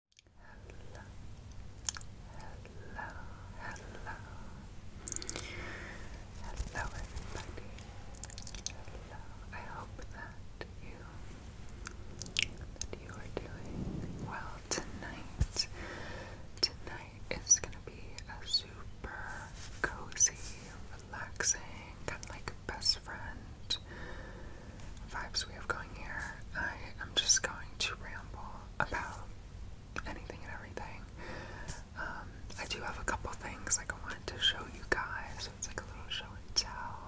Hello, hello, hello, hello everybody. Hello. I hope that you that you are doing well tonight. Tonight is gonna be a super cozy, relaxing, kind of like best friend vibes we have going here. I am just going to ramble about anything and everything. Um, I do have a couple things I wanted to show you guys. So it's like a little show and tell.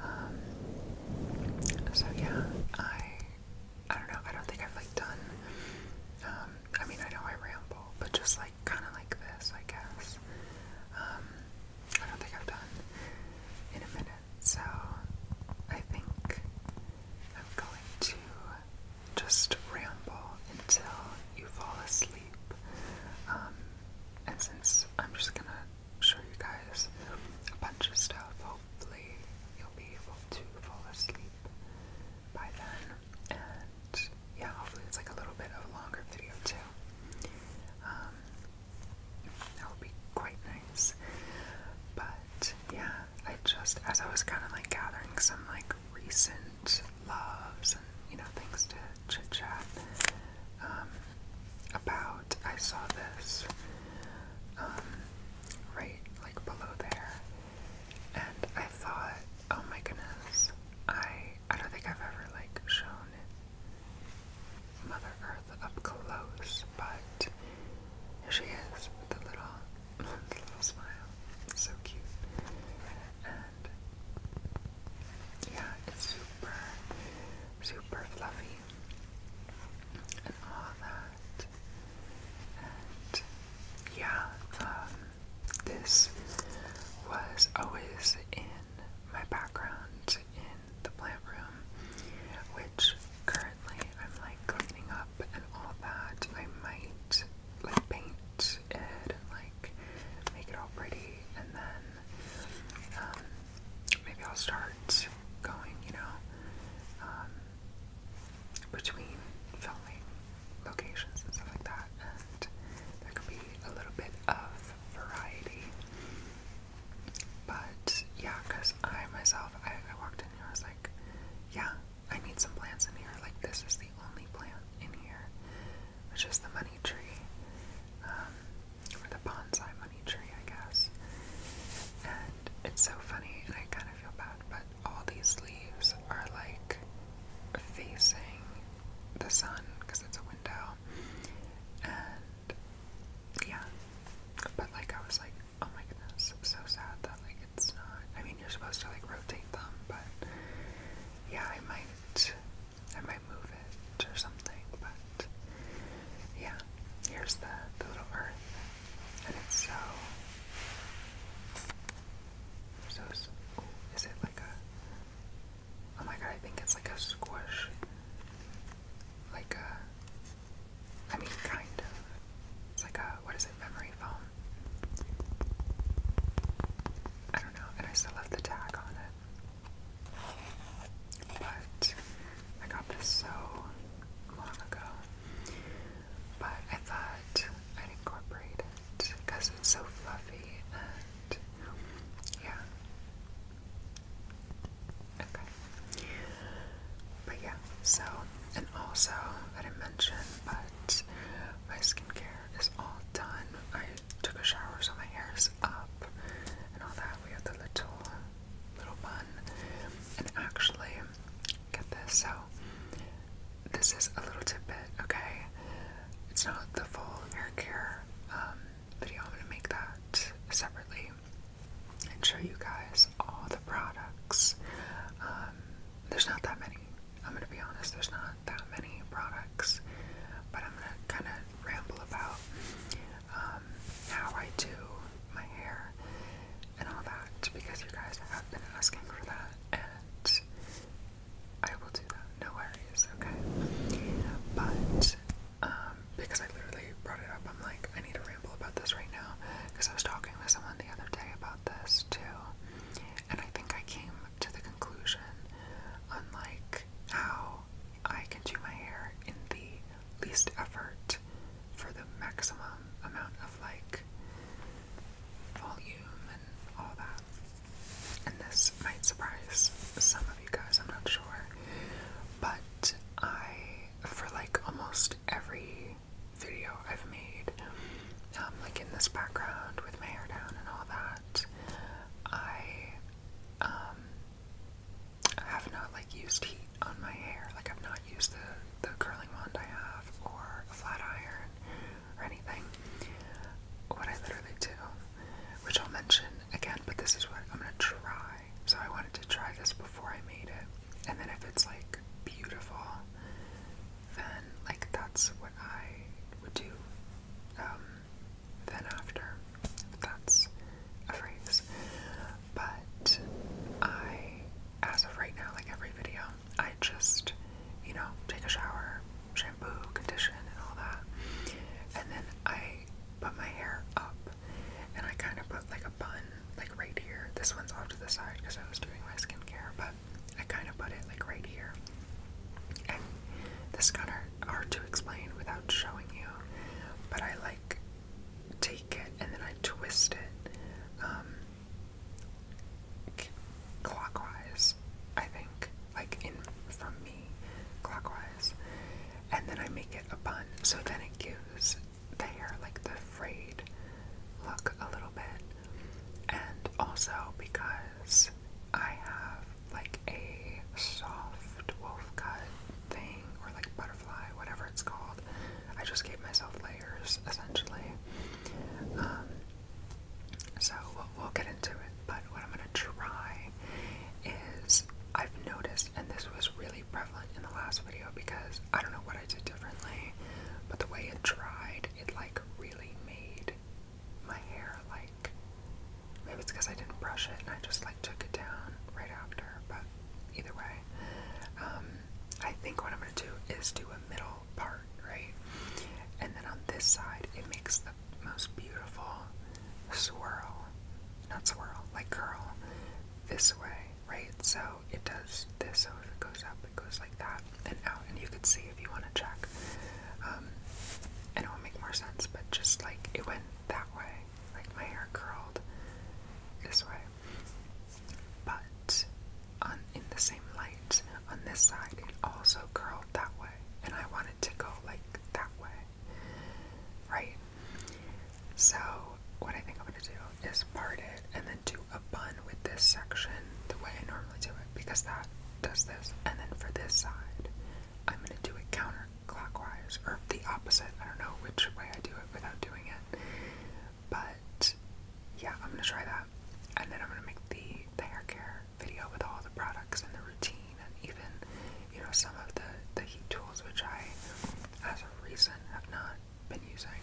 Um, so yeah, I I don't know. I don't think I've like done. Um, I mean, I know I ramble, but just like kind of like this, I guess. I don't think I've done in a minute, so I think I'm going to just ramble until you fall asleep. Um, and since I'm just gonna show you guys a bunch of stuff, hopefully you'll be able to fall asleep by then. And yeah, hopefully it's like a little bit of a longer video too. Um, that would be quite nice. But yeah, I just as I was kind of like gathering some like recent loves and you know things to chit chat um, about, I saw this um, right like below there, and I thought, oh my goodness, I I don't think I've ever like shown it. Mother Earth up close, but here she is with a little, little smile. so cute. And yeah, it's super, super fluffy and all that. And yeah, um, this was always in my background in the plant room, which currently I'm like cleaning up and all that. I might like paint it and like make it all pretty, and then um, maybe I'll start going, you know, um, between filming locations and stuff like that, and there could be a little bit of variety. But yeah, because I myself, I, walked in here, I was like, yeah, I need some plants in here. Like, this is the only plant in here, which is the money tree, um, or the bonsai money tree, I guess. And it's so funny, and I kind of feel bad, but all these leaves are like facing the sun because it's a window, yeah. But like I was like, oh my goodness, so sad that like it's not I mean you're supposed to like rotate them, but yeah, I might I might move it or something, but yeah. Here's the, the little earth. And it's so so, Is it like a oh my god, I think it's like a squish like a, I mean, kind of. It's like a, what is it, memory foam? I don't know, and I still left the tag on it. But I got this so long ago. But I thought I'd incorporate it because it's so fluffy yeah, Okay. But yeah, so, and also, I did but my skincare is all done. I took a shower, so my hair is up and all that. We have the little, little bun. And actually, get this, so, this is a little tidbit, okay? It's not the full hair care um, video. I'm going to make that separately and show you guys all the products. Um, there's not that many. I'm going to be honest, there's not that many products, but I'm going to kind of ramble about um, how I do my hair and all that because you guys have been asking for that and I will do that, no worries, okay? But um, because I literally brought it up. I'm like, I need to ramble about this right now because I was talking with someone the other day about this too, and I think I came to the conclusion on like how I can do my hair in the least effort for the maximum amount of like volume and all that. And this might surprise some of you guys, I'm not sure. But I for like almost every video I've made, um, like in this background with my hair down and all that, I um, have not like used heat on my hair. Like I've not used the the curling wand I have or a flat iron or anything. What I literally do, which I'll mention again, but this is what I'm gonna try so I wanted to try this before I made it. And then if it's like beautiful, then like that's what I would do um, then after. that's a phrase. But I, as of right now, like every video, I just, you know, take a shower, shampoo, condition, and all that. And then I put my hair up and I kind of put like a bun like right here. This one's off to the side because I was doing my skincare, but I kind of put it like right here. And this kind of hard to explain without showing you, but I like take it and then I twist it um, clockwise, I think, like in from me clockwise, and then I make it a bun. So then it gives use the like the frayed look, a little bit. And also because I have like a soft wolf cut thing, or like butterfly, whatever it's called, I just gave myself layers essentially. Um, so we'll get into it, but what I'm gonna try is I've noticed, and this was really prevalent in the last video because I don't know what I did differently, but the way it dried, it like really made my hair like maybe it's because I didn't brush it and I just like took it down right after, but either way, um, I think what I'm gonna do is do a middle part, right? And then on this side, it makes the most beautiful swirl, not swirl, like curl this way, right? So it does this. So if it goes up, it goes like that and out. And you could see if you want to check. and um, it will make more sense, but just like it went that way, like my hair curled this way. But on in the same light on this side, it also curled that way, and I wanted to go like that way. Right. So what I think I'm gonna do is part it and then do a bun with this section the way I normally do it because that does this. And then for this side, I'm gonna do it counterclockwise or the opposite. I don't know which way I do it without doing it. But yeah, I'm gonna try that. And then I'm gonna make the, the hair care video with all the products and the routine and even, you know, some of the the heat tools which I as of recent have not been using,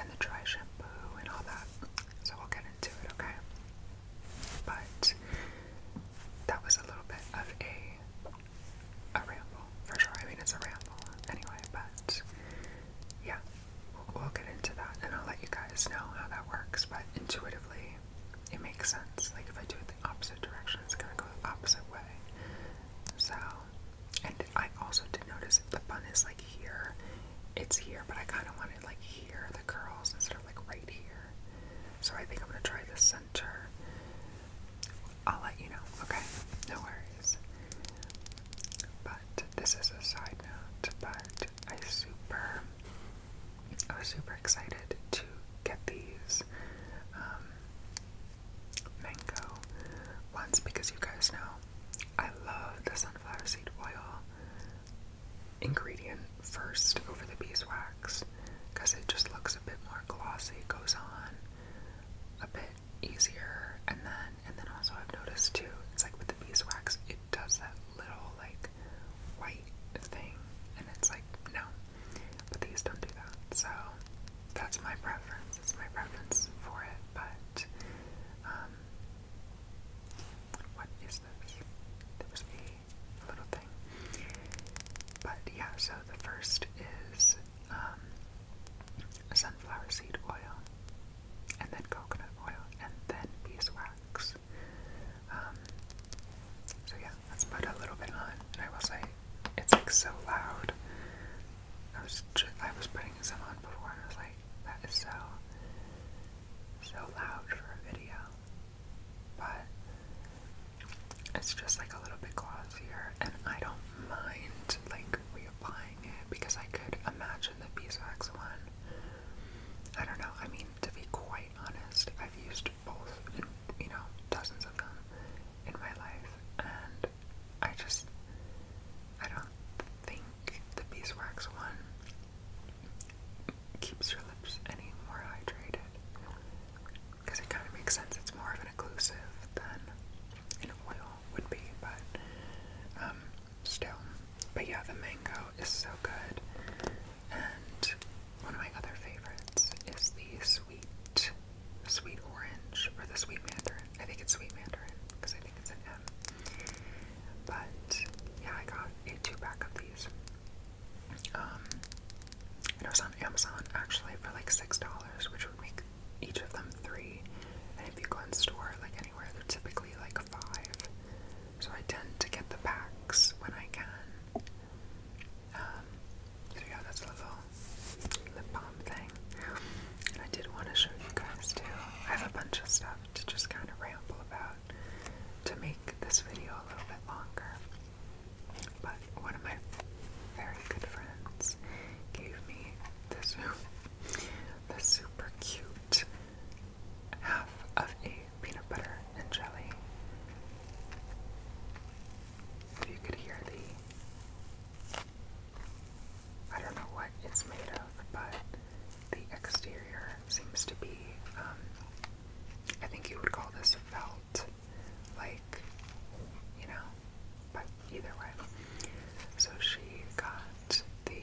and the dry shampoo and all that. So we'll get into it, okay? But that was a little bit of a a ramble, for sure. I mean, it's a ramble anyway, but yeah, we'll, get into that, and I'll let you guys know how that works. But intuitively, it makes sense. Like if I do opposite direction. It's gonna go the opposite way. So, and I also did notice the bun is like here. It's here, but I kind of wanted like here, the curls, instead of like right here. So I think I'm gonna try the center. I'll let you know, okay? No worries. But this is a side note, but I super, I was super excited to get these. Um, mango ones because you guys know I love the sunflower seed oil ingredient first over the beeswax because it just looks a bit more glossy, goes on a bit easier, and then and then also I've noticed too, it's like with the beeswax, it does that little like white thing, and it's like no, but these don't do that. So that's my preference. my preference for it. But um, what is this? There was a little thing. But yeah, so the first is um, sunflower seed oil and then coconut oil and then beeswax. Um, so yeah, Let's put a little bit on, and I will say it's like so loud. I was I was putting some on before, and I was like, that is so so loud for a video, but it's just like a little bit glossier, and I don't mind like reapplying it because I could imagine the beeswax one. I don't know. I mean, to be quite honest, I've used both, you know, dozens of them in my life, and I just, I don't think the beeswax one keeps your lips any more hydrated. Because it kind of makes sense, it's more of an occlusive than an oil would be, but um, still. But yeah, the mango is so good. And one of my other favorites is the sweet sweet orange or the sweet mandarin. I think it's sweet mandarin because I think it's an M. But yeah, I got a two pack of these. Um, it was on Amazon actually for like six dollars, which would make each of them three. And if you go in store, like anywhere, they're typically like five. So I tend to get the packs when I can. Um, so yeah, that's a little lip balm thing. I did want to show you guys too. I have a bunch of stuff to just kind of ramble about to make this video a little bit longer. But one of my very good friends gave me this super cute half of a peanut butter and jelly if you could hear the, I don't know what it's made of, but the exterior seems to be, um, I think you would call this felt, like, you know, but either way. So she got the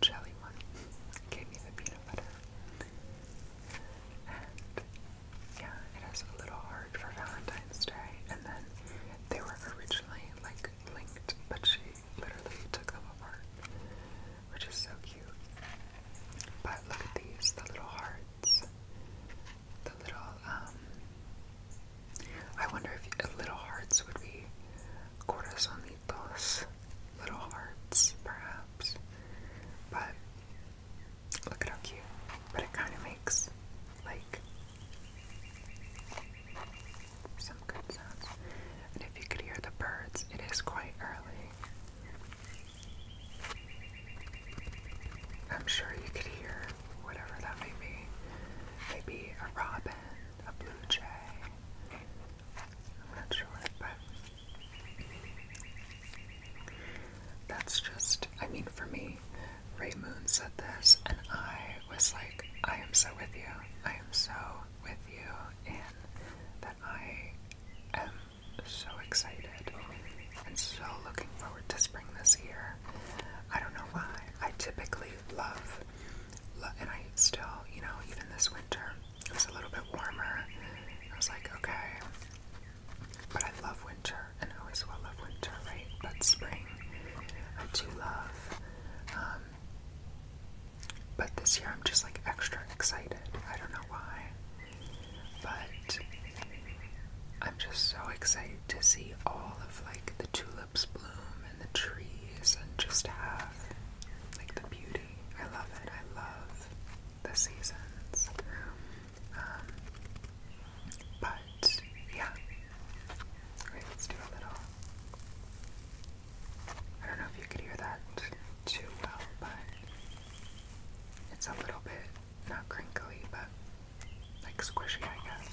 jelly one, gave me the peanut butter, yeah, it is a little hard for Valentine's Day. And then they were originally like linked, but she literally took them apart, which is so cute. But look at these, the little hearts. The little, um, I wonder if little hearts would be corazones, little hearts, perhaps. But Look at how cute. But it kind of makes like some good sounds. And if you could hear the birds, it is quite early. I'm sure you could hear whatever that may be. Maybe a robin, a blue jay. I'm not sure, but that's just, I mean, for me, Ray Moon said this, and I was like, I am so with you. I am so with you, and that I am so excited and so looking forward to spring this year. I don't know why. I typically love, lo and I still, you know, even this winter, it was a little bit warmer. I was like, okay, but I love winter, and I always will love winter, right? But spring, I do love. Um, but this year I'm just like extra excited. I don't know why. But I'm just so excited to see all of like the tulips bloom and the trees and just have like the beauty. I love it. I love the seasons. Um, but yeah. let's do a little. I don't know if you could hear that too well, but it's a little bit not crinkly, but like squishy, I guess.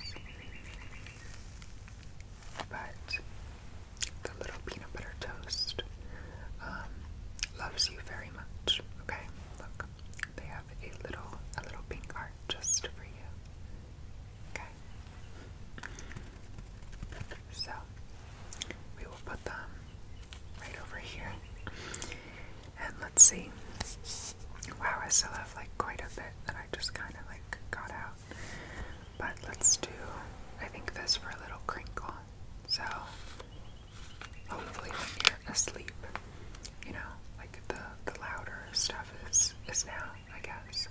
But the little peanut butter toast um, loves you very much. Okay, look. They have a little a little pink art just for you. Okay. So we will put them right over here. And let's see. Wow, I still have like quite a bit that I just kind of like got out. But let's do I think this for a little crinkle. So hopefully when you're asleep. You know, like the the louder stuff is is now, I guess.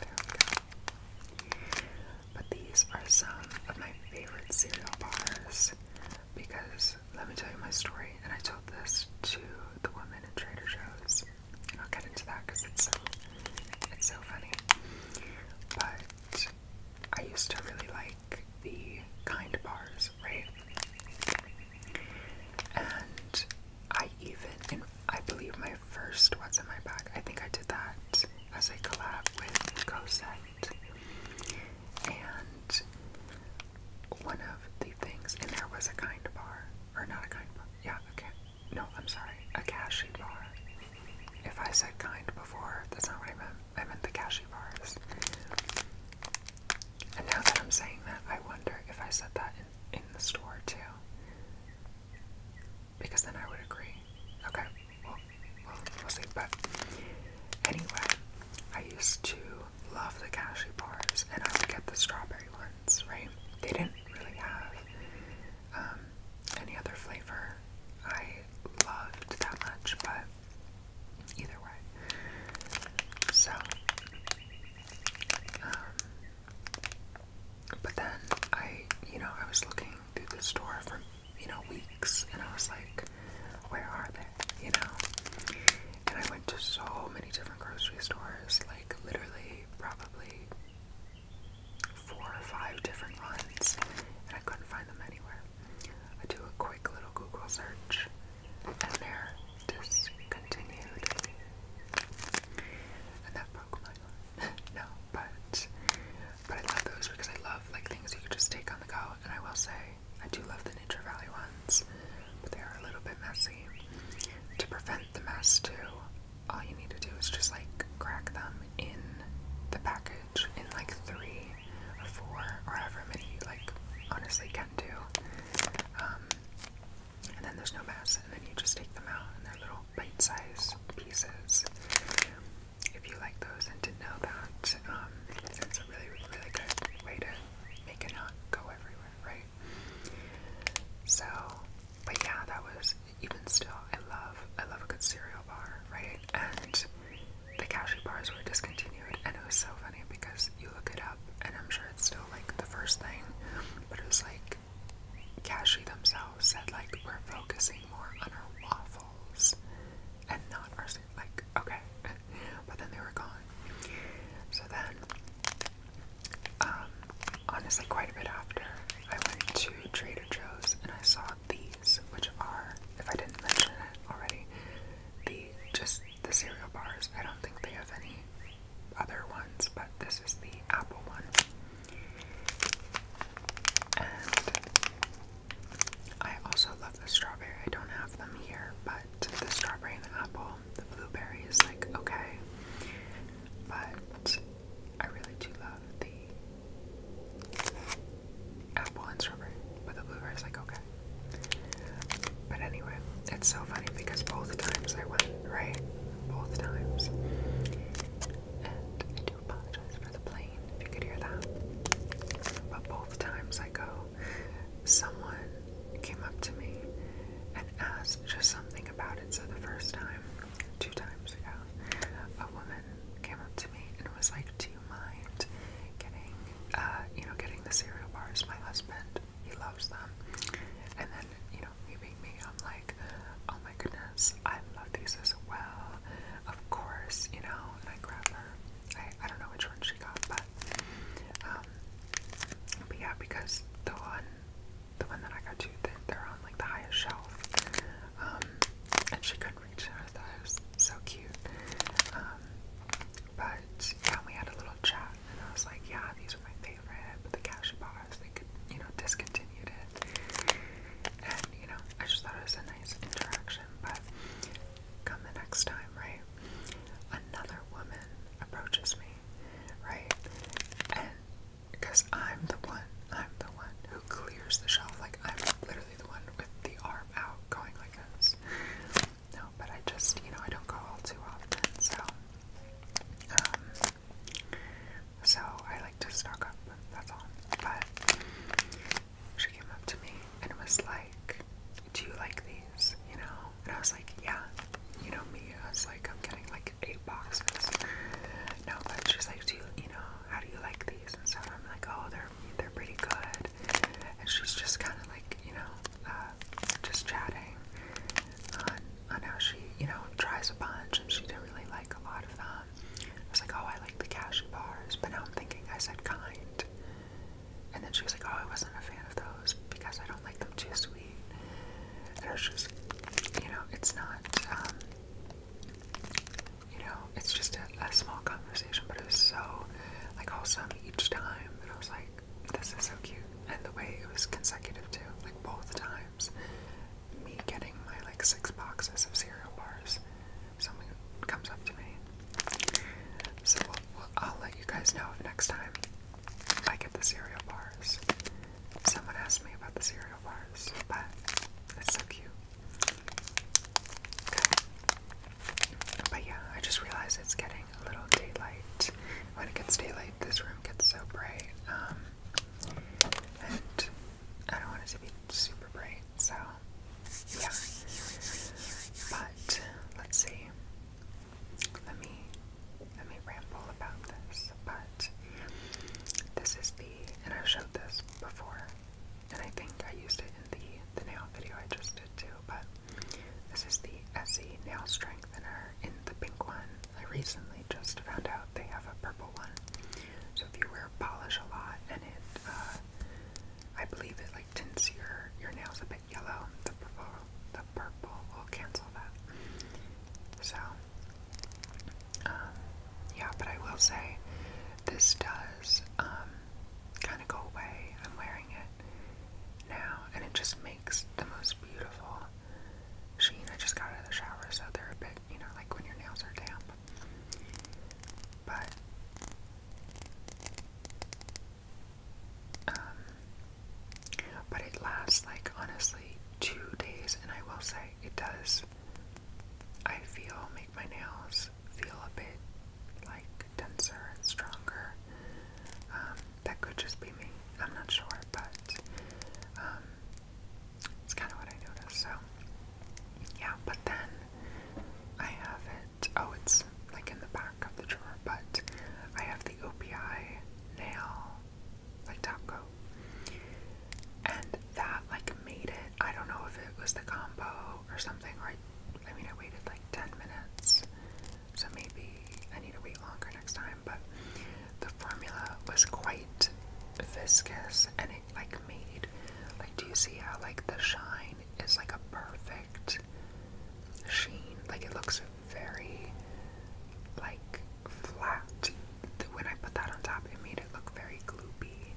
There we go. But these are some of my favorite cereal bars because let me tell you my story, and I told this to the woman in Trader Joe's. I'll get into that because it's so it's so funny. But I used to really like the kind bars, right? And I even, in, I believe my first What's in My Bag, I think I did that as a collab with Cosette. And one of the things in there was a kind bar, or not a kind bar, yeah, okay. No, I'm sorry, a cashew bar. If I said kind before, that's not what I meant. I meant the cashew bars. And now that I'm saying that, I wonder if I said that in, in the store too. Because then I would agree. Okay, well, we'll, see. But anyway, I used to love the cashew bars and I would get the strawberry ones, right? They didn't really have um, any other flavor I loved that much, but either way. So, um, but then I, you know, I was looking through the store for, you know, weeks, and I was like, where are they, you know? And I went to so many different grocery stores, like literally probably four or five different ones, and I couldn't find them anywhere. I do a quick little Google search, and they're discontinued. And that broke my heart. no, but but I love those because I love like things you could just take on the go. And I will say I do love the Nature Valley ones, but they are a little bit messy. To prevent the mess too, all you need to do is just like crack them in the package in like three or four or however many like honestly can do. Um, and then there's no mess, and then you just take them out and they're little bite sized pieces. If you like those and didn't know that, um, it's a really, really, good way to make it not go everywhere, right? So, but yeah, that was even still, I love I love a good cereal bar, right? And the cashew bars were discontinued, and it was so funny because you look it up, and I'm sure it's still like the first thing, but it was like cashew themselves said like we're focusing more on our waffles and not our like okay, but then they were gone. So then, um, honestly, quite a bit after, I went to Trader Joe's and I saw these, which are, if I didn't mention it already, the just the cereal bars. I don't think they have any other ones, but this is the apple one. And I also love the strawberry. I don't have them here, but the strawberry and the apple, the blueberry is like okay. But I really do love the apple and strawberry, but the blueberry is like okay. But anyway, it's so funny because both times I went, right? Both times. And I do apologize for the plane, if you could hear that. But both times I go, someone came up to me and asked just something about it. So the first time, two times ago, a woman came up to me and was like, "Do you mind getting, uh, you know, getting the cereal bars? My husband, he loves them." And then, you know, me being me, I'm like, "Oh my goodness, I love these as well." Of course, you know. And I grab her. I I don't know which one she got, but um, but yeah, because the one, the one that I got you, they're on like the highest shelf um, and she couldn't reach her. I thought it was so cute. Um, but yeah, we had a little chat, and I was like, yeah, these are my favorite, but the cashew bars, they could, you know, discontinued it. And, you know, I just thought it was a nice interaction, but come the next time, right? Another woman approaches me, right? And because I'm the one, I'm the one who clears the shelf. Like, I'm literally the one with the arm out going like this. No, but I just, you know, I don't go all too often, so. Um, so I like to stock up, that's all. But she came up to me and was like, Do you like these? You know? And I was like, Yeah. You know me. I was like, I'm getting like eight boxes. No, but she's like, Do you, you know, how do you like these and stuff? I'm like, oh, they're they're pretty good. And she's just kind of like, you know, uh, just chatting on on how she, you know, tries a bunch and she didn't really like a lot of them. I was like, oh, I like the cashew bars, but now I'm thinking I said kind. And then she was like, oh, I wasn't a fan of those because I don't like them too sweet. And I was just, you know, it's not. Um, you know, it's just a, a small conversation, but it was so like wholesome each time. And I was like, this is so cute. And the way it was consecutive too, like both times, me getting my like six boxes of cereal bars, someone comes up to me. So we'll, we'll, I'll let you guys know if next time I get the cereal bars. Someone asked me about the cereal bars, but it's so cute. But yeah, I just realized it's getting a little daylight. When it gets daylight, this room gets so bright. Um, and I don't want it to be super bright, so yeah. But let's see. Let me let me ramble about this. But this is the and i showed this before, and I think I used it in the, the nail video I just did too, but this is the Essie Nail Strengthener in the pink one. I recently just found out they have a purple one, so if you wear polish a lot and it, uh, I believe it like tints your, your nails a bit yellow, the purple, the purple will cancel that. So um, yeah, but I will say this does um, kind of go away. I'm wearing it now, and it just makes the most beautiful sheen. I just got out of the shower, so they're a bit, you know, like when your nails are damp. But um, but it lasts like honestly two days, and I will say it does I feel make my nails feel a bit like denser and stronger. Um, that could just be me. I'm not sure, but um, it's kind of what I noticed. So yeah, but then I have it. Oh, it's like in the back of the drawer, but I have the OPI nail like top coat and that like made it. I don't know if it was the combo or something, or I, mean, I waited like 10 minutes, so maybe I need to wait longer next time. But the formula was quite viscous and it like made, like, do you see how like the shine is like a perfect sheen? Like, it looks very like flat when I put that on top, it made it look very gloopy.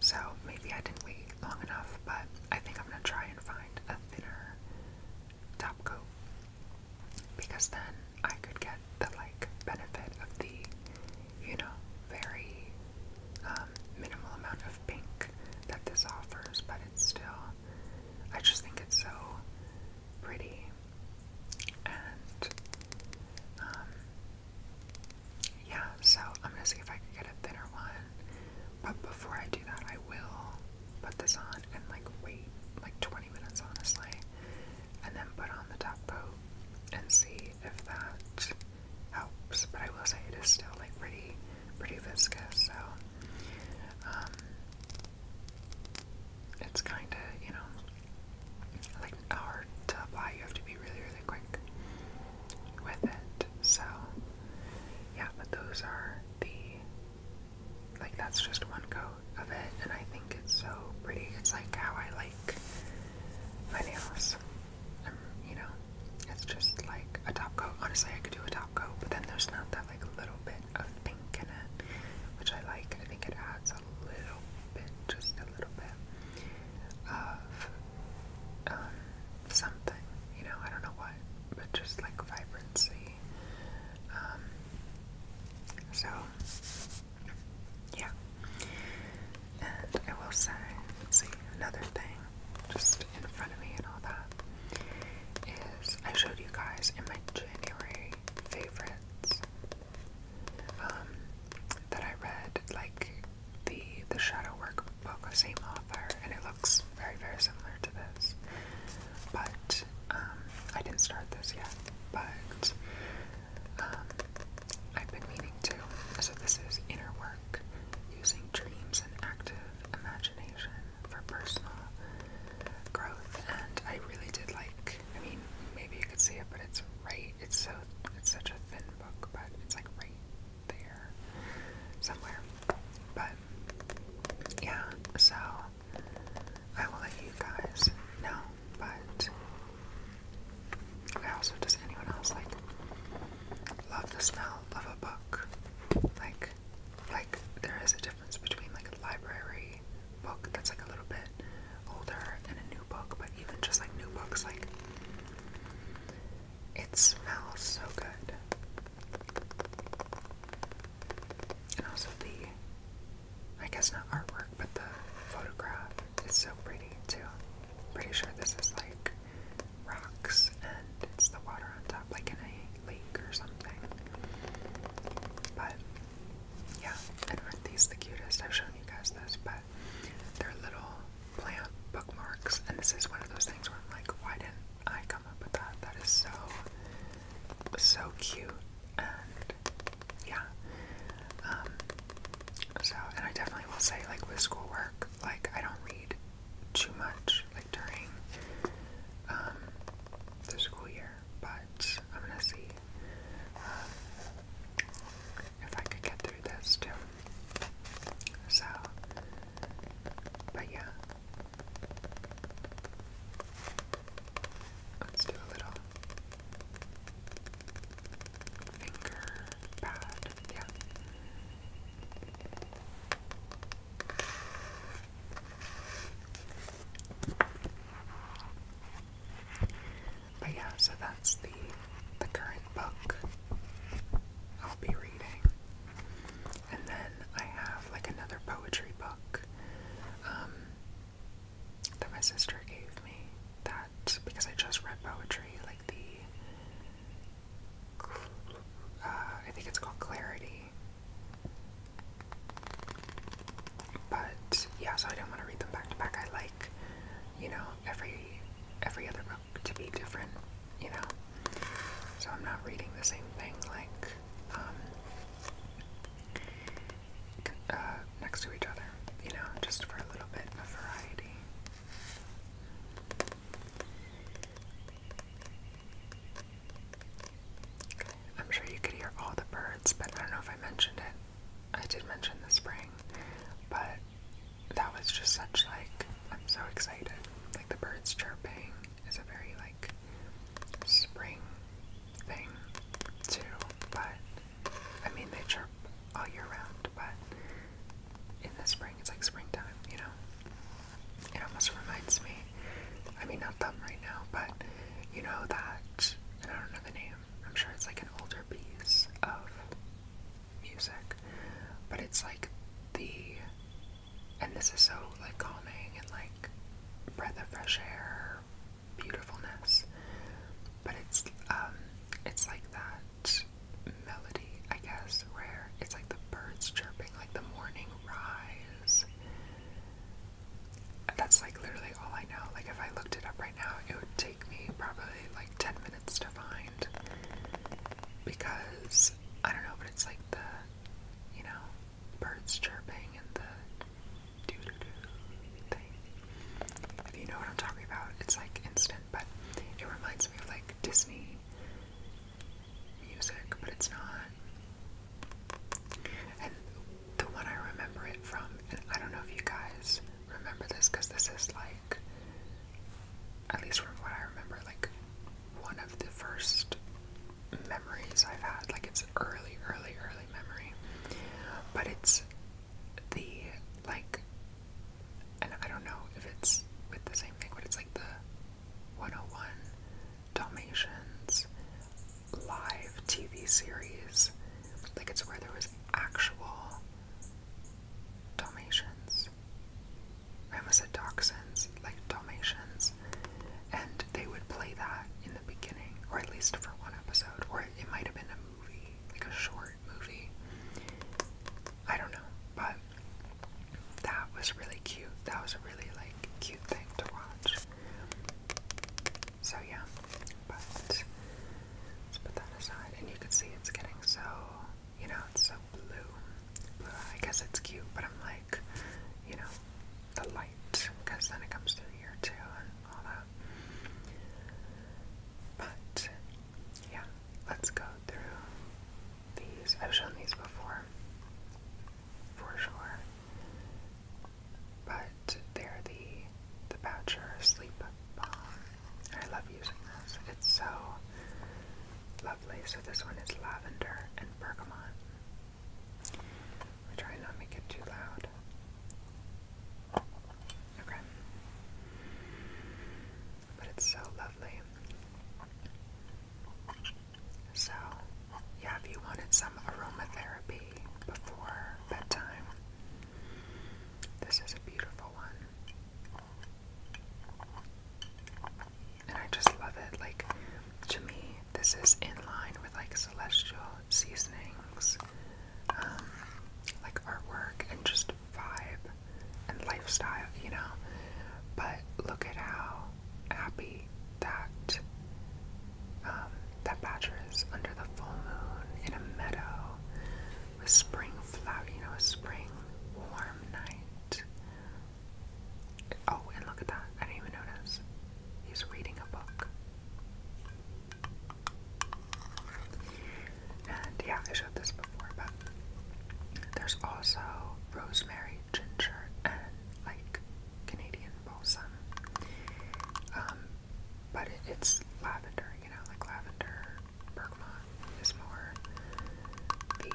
So maybe I didn't wait long enough, but I think I'm gonna try and find a thinner top coat because then I could get the like benefit of the, you know, very um, minimal amount of pink that this offers, but it's still. I just think it's so pretty, and um, yeah, so I'm gonna see if I can get a thinner one. But before I do that, I will put this on and like wait like 20 minutes, honestly, and then put on the top coat and see if that helps. But I will say it is still like pretty, pretty viscous, so um, it's kind of you know like hard to apply. You have to be really, really quick with it. So, yeah, but those are the like that's just one coat of it, and I think it's so pretty. It's like how I like my nails. Um, you know, it's just like a top coat. Honestly, I could do a top coat, but then there's not that like little bit of pink in it, which I like. I think it adds a little bit, just a little bit of um, something, you know, I don't know what, but just like vibrancy. Um, so, yeah. And I will say, let's see, another thing just in front of me and all that is I showed you guys in my January favorites um, that I read, like the the shadow work book, same author, and it looks very very similar to this. But um, I didn't start this yet, but um, I've been meaning to. So this is inner work using dreams and active imagination for personal growth, and I really did like. I mean, maybe you could see it, but it's right it's so, it's such a thin book, but it's like right there somewhere. But yeah, so I will let you guys know. But I also, does anyone else like love the smell of a book? Like, like there is a difference between like a library book that's like a little bit older and a new book, but even just like new books, like it smells so good. And also the, I guess not artwork, but the photograph is so pretty too. pretty sure this is like rocks and it's the water on top, like in a lake or something. But yeah, and aren't these the cutest? I've shown you guys this, but they're little plant bookmarks, and this is one of those things where I'm like, why didn't I come up with that? That is so, so cute, and yeah. Um, so, and I definitely will say, like with schoolwork, like I don't read too much, like during um, the school year, but I'm gonna see um, if I could get through this too. So, but yeah. Let's do a little finger pad. Yeah. But yeah, so that's the the current book I'll be reading. And then I have like another poetry book um, that my sister gave me that because I just read poetry, like the uh, I think it's called Clarity. But yeah, so I didn't want to read them back to back. I like, you know, every every other book to be different, you know. So I'm not reading the same thing like um, uh, next to each other, you know, just for a little bit of variety. I'm sure you could hear all the birds, but I don't know if I mentioned it. I did mention the spring, but that was just such like I'm so excited. Like the birds chirping is a very like spring thing too, but I mean they chirp all year round, but in the spring it's like springtime, you know. It almost reminds me I mean not them right now, but you know that I don't know the name, I'm sure it's like an older piece of music, but it's like the and this is so like calming and like breath of fresh air, beautifulness. But it's um it's like that melody, I guess, where it's like the birds chirping, like the morning rise. That's like literally all I know. Like if I looked it up right now, it would take take me probably like 10 minutes to find because I don't know, but it's like the, you know, birds chirping and the doo doo doo thing. If you know what I'm talking about, it's like instant, but it reminds me of like Disney music, but it's not. And the one I remember it from, and I don't know if you guys remember this because this is like, at least from what I remember, like one of the first memories I've had. Like it's early, early, early memory. But it's the, like, and I don't know if it's with the same thing, but it's like the 101 Dalmatians live TV series like it's where there was actual Dalmatians. I almost said dachshunds, like Dalmatians. And they would play that in the beginning, or at least for one episode, or it might have been a movie, like a short movie. I don't know, but that was really cute. That was a really like cute thing to watch. So yeah, but let's put that aside. And you can see it's getting so, you know, it's so blue. I guess it's cute, but I'm like, you know, the light, because then it comes through here too and all that. But yeah, let's go through these. I've shown these before, for sure. But they're the the Boucher Sleep Balm. I love using this. It's so lovely. So this one is lavender and bergamot. I'm not make it too loud. Okay. But it's so lovely. So, yeah, if you wanted some aromatherapy before bedtime, this is a beautiful one. And I just love it. Like, to me, this is in line with like celestial seasonings, um, like artwork and just vibe and lifestyle, you know. But look at how happy that um, that badger under the full moon in a meadow with spring flower, you know, a spring warm night. Oh, and look at that. I didn't even notice. He's reading a book. And yeah, I showed this before, but there's also rosemary, ginger, and like Canadian balsam. Um, but it's lavender, you know, like lavender, bergamot is more the,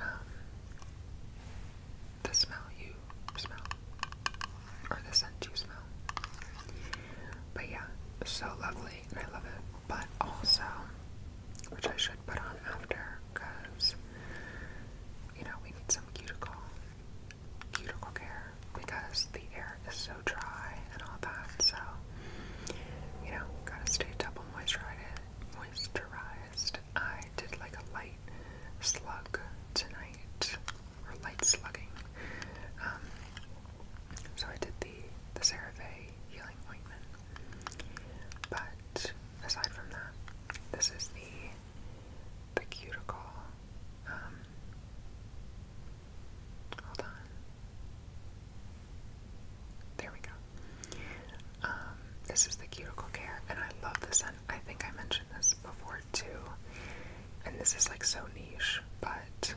um, the smell you smell, or the scent you smell. But yeah, so lovely, I love it. But also, which I should put on after, because, you know, we need some cuticle cuticle care because the air is so dry and all that. So, you know, gotta stay double moisturized. Moisturized. I did like a light slug tonight, or light slugging. Um, so I did the the CeraVe healing ointment, but aside from that, this is the the cuticle. Um, hold on. There we go. Um, this is the cuticle care, and I love this scent. I think I mentioned this before too. And this is like so niche, but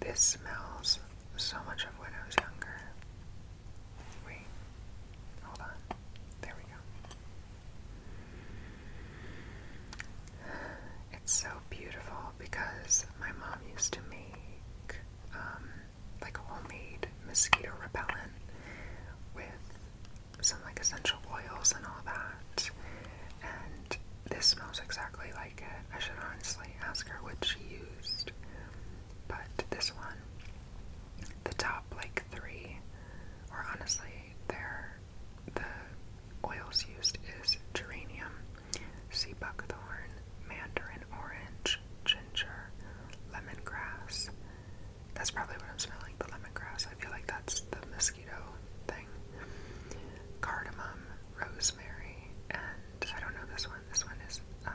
this smells so much of when I was younger. Wait, hold on. There we go. It's so beautiful because my mom used to make um, like homemade mosquito repellent with some like essential oils and all that. And this smells exactly like it. I should honestly ask her what she used. But this one, the top like three, are honestly, they're the oils used is geranium, sea buckthorn, mandarin orange, ginger, lemon grass. That's probably what I'm smelling, the grass. I feel like that's the mosquito thing. Cardamom, rosemary, and I don't know this one. This one is uh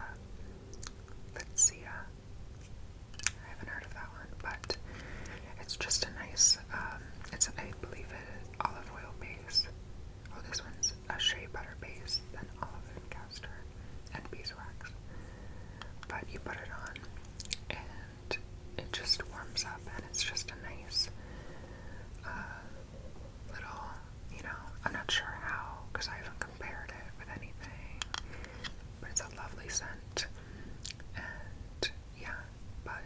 I haven't heard of that but it's just a nice, um, it's, I believe it, olive oil base. Oh, this one's a shea butter base, then olive and castor, and beeswax. But you put it on, and it just warms up, and it's just a nice uh, little, you know, I'm not sure how, because I haven't compared it with anything, but it's a lovely scent, and yeah, but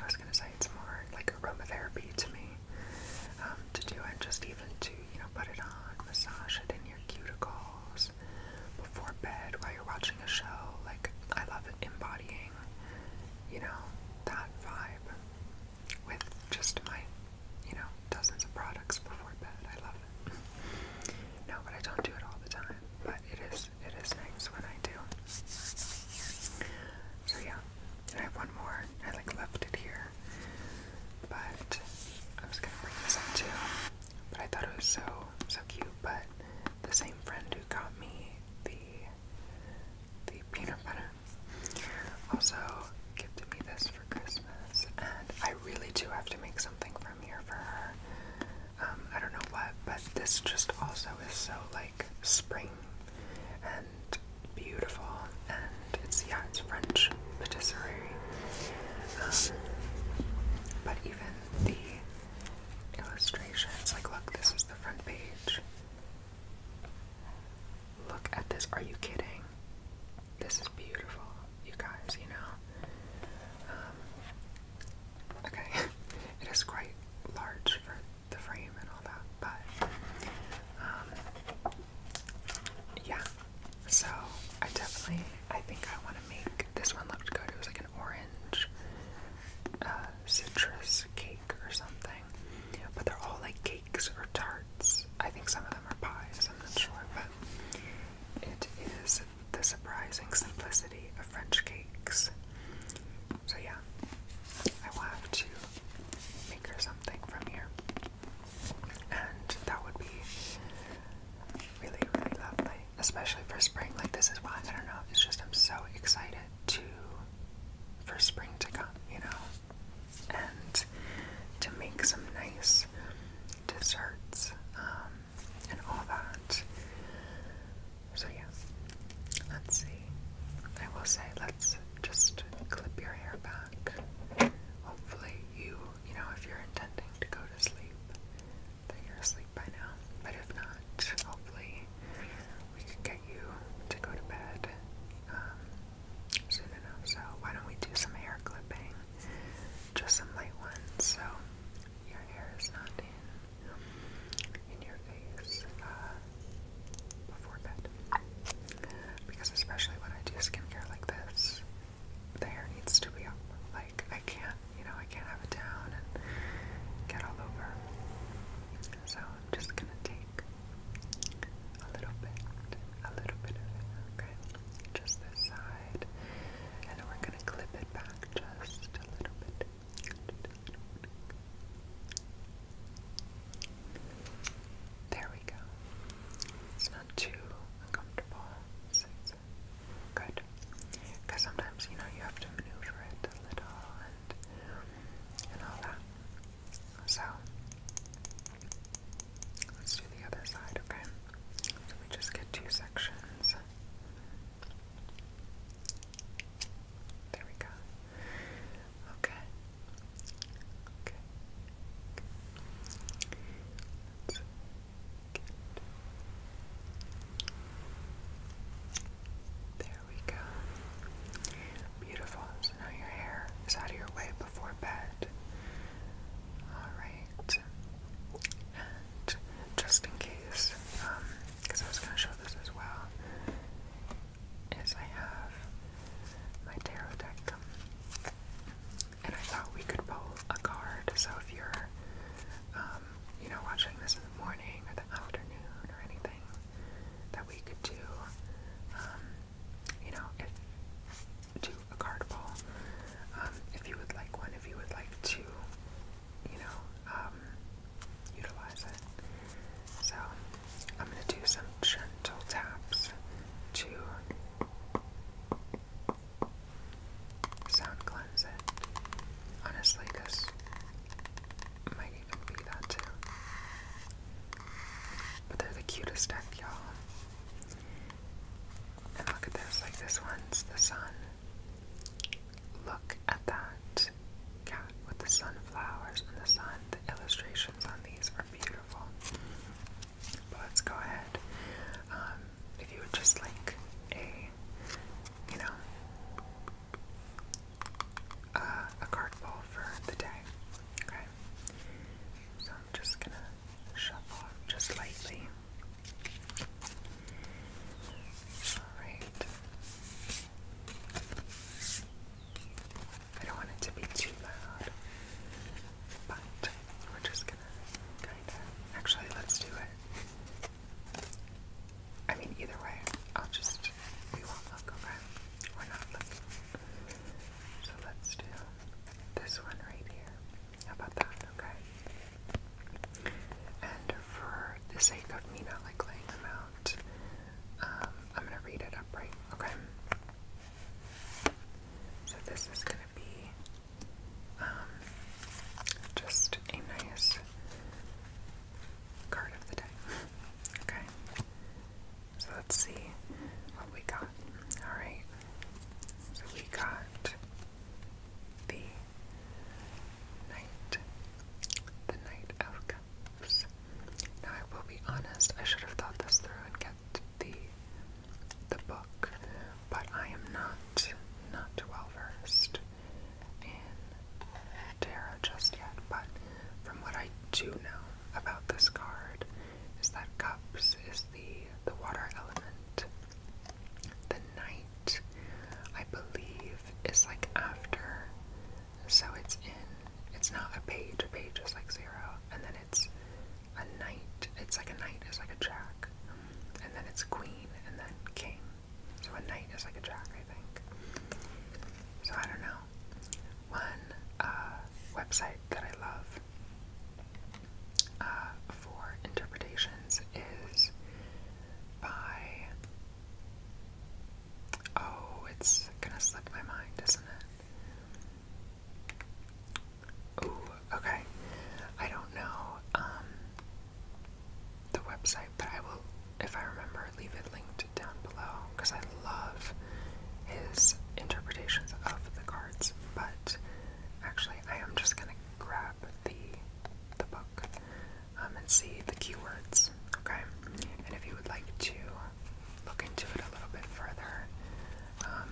I was gonna say it's more like aromatherapy to me um, to do it, just even to you know put it on, massage it in your cuticles before bed while you're watching a show. Like I love embodying, you know, that vibe with just my, you know, dozens of products before bed. I love it. No, but I don't do it all the time. But it is it is nice when I do. So yeah, and I have one more. I like left it here, but I was gonna bring this up too. But I thought it was so so cute. But the same friend who got me the the peanut butter also gifted me this for Christmas, and I really do have to make something from here for her. Um, I don't know what, but this just also is so like spring and beautiful, and it's yeah, it's French patisserie. Um, but even the illustrations, like look, this is the front page. Look at this. Are you kidding? This is beautiful, you guys. You know. Um, Okay, it is quite large for the frame and all that, but um, yeah. So I definitely, I think I want to make this one looked good. It was like an orange uh, citrus cake or something, but they're all like cakes or tarts. I think some of them are pies. I'm not sure, but it is the surprising simplicity of French cakes. So, yeah, I will have to make her something from here. And that would be really, really lovely, especially for spring. Like, this is why I don't know, it's just I'm so excited to for spring to come, you know, and to make some nice desserts. Um, and all that. So, yeah, let's see. I will say, let's just clip your hair back. Hopefully, you, you know, if you're intending to go to sleep, then you're asleep by now. But if not, hopefully, we can get you to go to bed um, soon enough. So, why don't we do some hair clipping? Just some light ones, so your hair is not in your face uh, before bed. Because especially when I do skincare like this, the hair needs to be up. Like I can't, you know, I can't have it down and get all over. So I'm just gonna take a little bit, a little bit of it, okay? Just this side. And we're gonna clip it back just a little bit. There we go. It's not too uncomfortable. It's, good. Because sometimes, you know, you have to maneuver it a little and, and all that. So, let's do the other side, okay? So we just get two sections. There we go. Okay. Okay. There we go. Beautiful. So now your hair is out of your way before bed. Alright just in case, because um, I was going to show this as well, is I have my tarot deck, um, and I thought we could pull a card. So if you're, um, you know, watching this in the morning or the afternoon or anything, that we could do, you know, do a card pull. if you would like one, if you would like to you know, um, utilize it. So I'm going to do some gentle taps to sound cleanse it. Honestly, this might even be that too. But they're the cutest deck, y'all. And look at this, like this one's the sun. Look at that cat with the sunflowers and the sun. The illustrations on these are beautiful. But let's go ahead. Um, if you would just like a, you know, a card bowl for the day. Okay. So I'm just gonna shuffle just lightly. Alright. I don't want it to be too loud, but we're just gonna kind of. Actually, let's do it. I mean, either way, I'll just. We won't look, okay? We're not looking. So let's do this one right here. How about that, okay? And for the sake of me not like laying them out, um, I'm gonna read it upright, okay? So this is gonna be um, just a nice card of the day, okay? So let's see what we got. Alright, so we got the Knight. The Knight of Cups. Now I will be honest, I should have thought this through and kept the the book, but I am not not well versed in tarot just yet, but from what I do know about this card is that cups is the the water element the night, I believe, is like after. So it's in, it's not a page, a page is like zero, and then it's a knight, it's like a knight is like a jack, and then it's queen, and then king. So a knight is like a jack, I think. So I don't know. One uh, website that I love uh, for interpretations is by. Oh, it's gonna slip my mind, isn't it? Ooh, okay. I don't know um, the website, but I will, if I remember, leave it linked down below because I love his interpretations of the cards. But actually, I am just gonna grab the the book um, and see the keywords. Okay, and if you would like to look into it a little bit further, um,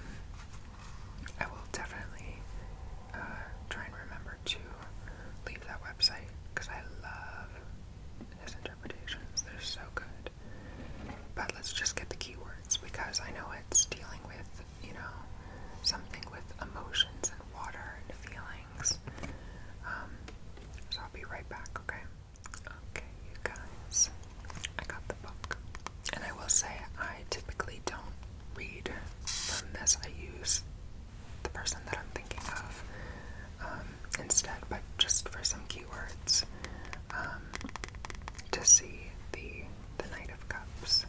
I will definitely uh, try and remember to leave that website because I love his interpretations. They're so good. But let's just get the keywords because I know it's dealing with, you know, something with emotions and water and feeling um, so I'll be right back, okay? Okay, you guys. I got the book. And I will say, I typically don't read from this. I use the person that I'm thinking of um, instead, but just for some keywords um, to see the the Knight of Cups.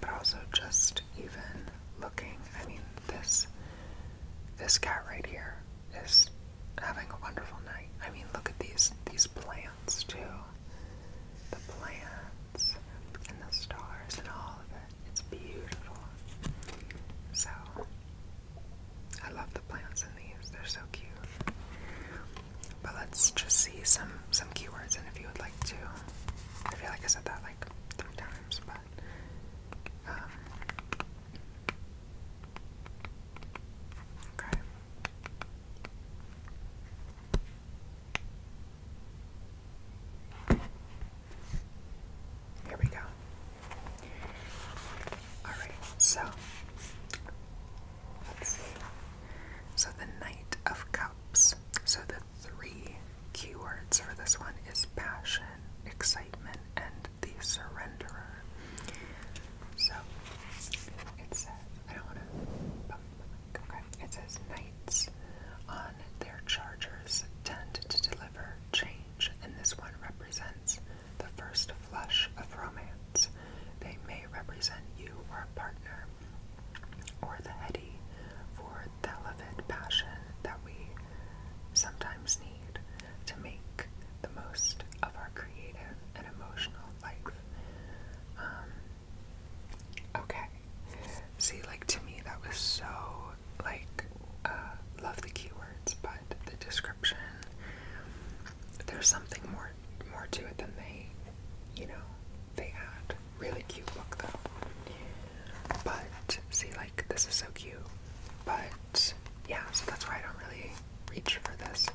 But also just even looking. I mean, this this cat right here is having a wonderful night. I mean, look at these these plants too. The plants and the stars and all of it. It's beautiful. So I love the plants in these. They're so cute. But let's just see some some keywords and if you would like to. I feel like I said that like. Um, Here we go. Alright, so let's see. So the Knight of Cups. So the three keywords for this one is passion, excitement, and the surrenderer. So it says, I don't want to, okay, it says knights on their chargers tend to deliver change, and this one represents the first flush of romance. They may represent you or a partner or the heady for the elevated passion that we sometimes need to make the most of our creative and emotional life. Um, okay. See, like to me, that was so like uh, love the keywords, but the description. There's something more more to it than they, you know, they add. Really cute look though. But see, like this is so cute. But yeah, so that's why I don't really reach for this.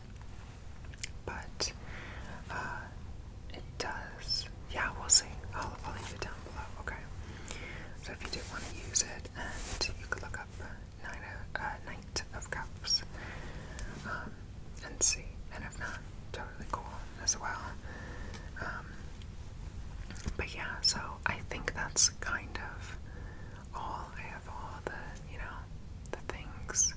But uh, it does. Yeah, we'll see. I'll, I'll leave it down below. Okay. So if you did want to use it, and you could look up Nine, uh, Knight of Cups um, and see. And if not, totally cool as well. Um, but yeah, so I think that's kind of all. I have all the, you know, the things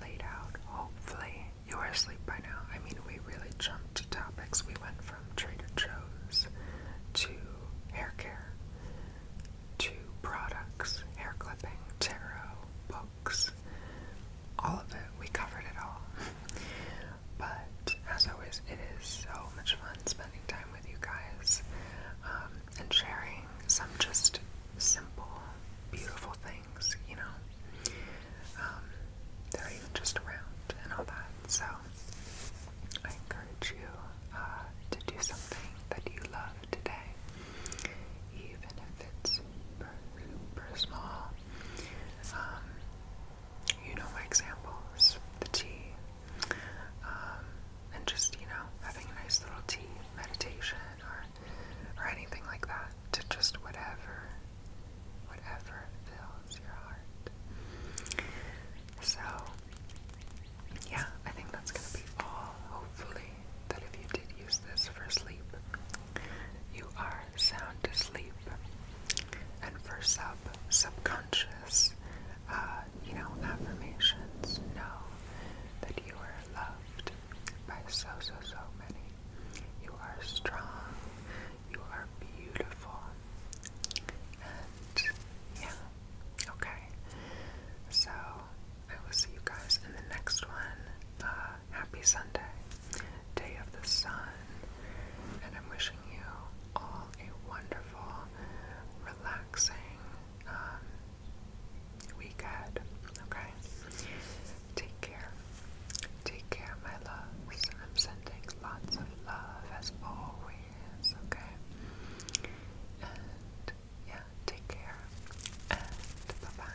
laid out. Hopefully, you are asleep by now. I mean, we really jumped to topics. We went from Trader Joe's to hair care, to products, hair clipping, tarot, books, all of it. We covered it all. but as always, it is so much fun spending time with you guys um, and sharing some just simple, beautiful things, you know, um, that are even just around and all that. So I encourage you uh, to do something that you love today, even if it's super, small. Um, you know my examples, the tea, um, and just, you know, having a nice little tea meditation or, or anything like that to just whatever, whatever fills your heart. So, yeah, I think that's going to be all. Hopefully, that if you did use this for sleep, you are sound asleep. And for sub subconscious, uh, you know, affirmations, know that you are loved by so so so many. You are strong. You are beautiful. And yeah, okay. So I will see you guys in the next one. Uh, happy Sunday, day of the sun, and I'm wishing you all a wonderful, relaxing um, weekend. Okay? Take care. Take care, my loves. I'm sending lots of love as always. Okay? And yeah, take care. And bye bye.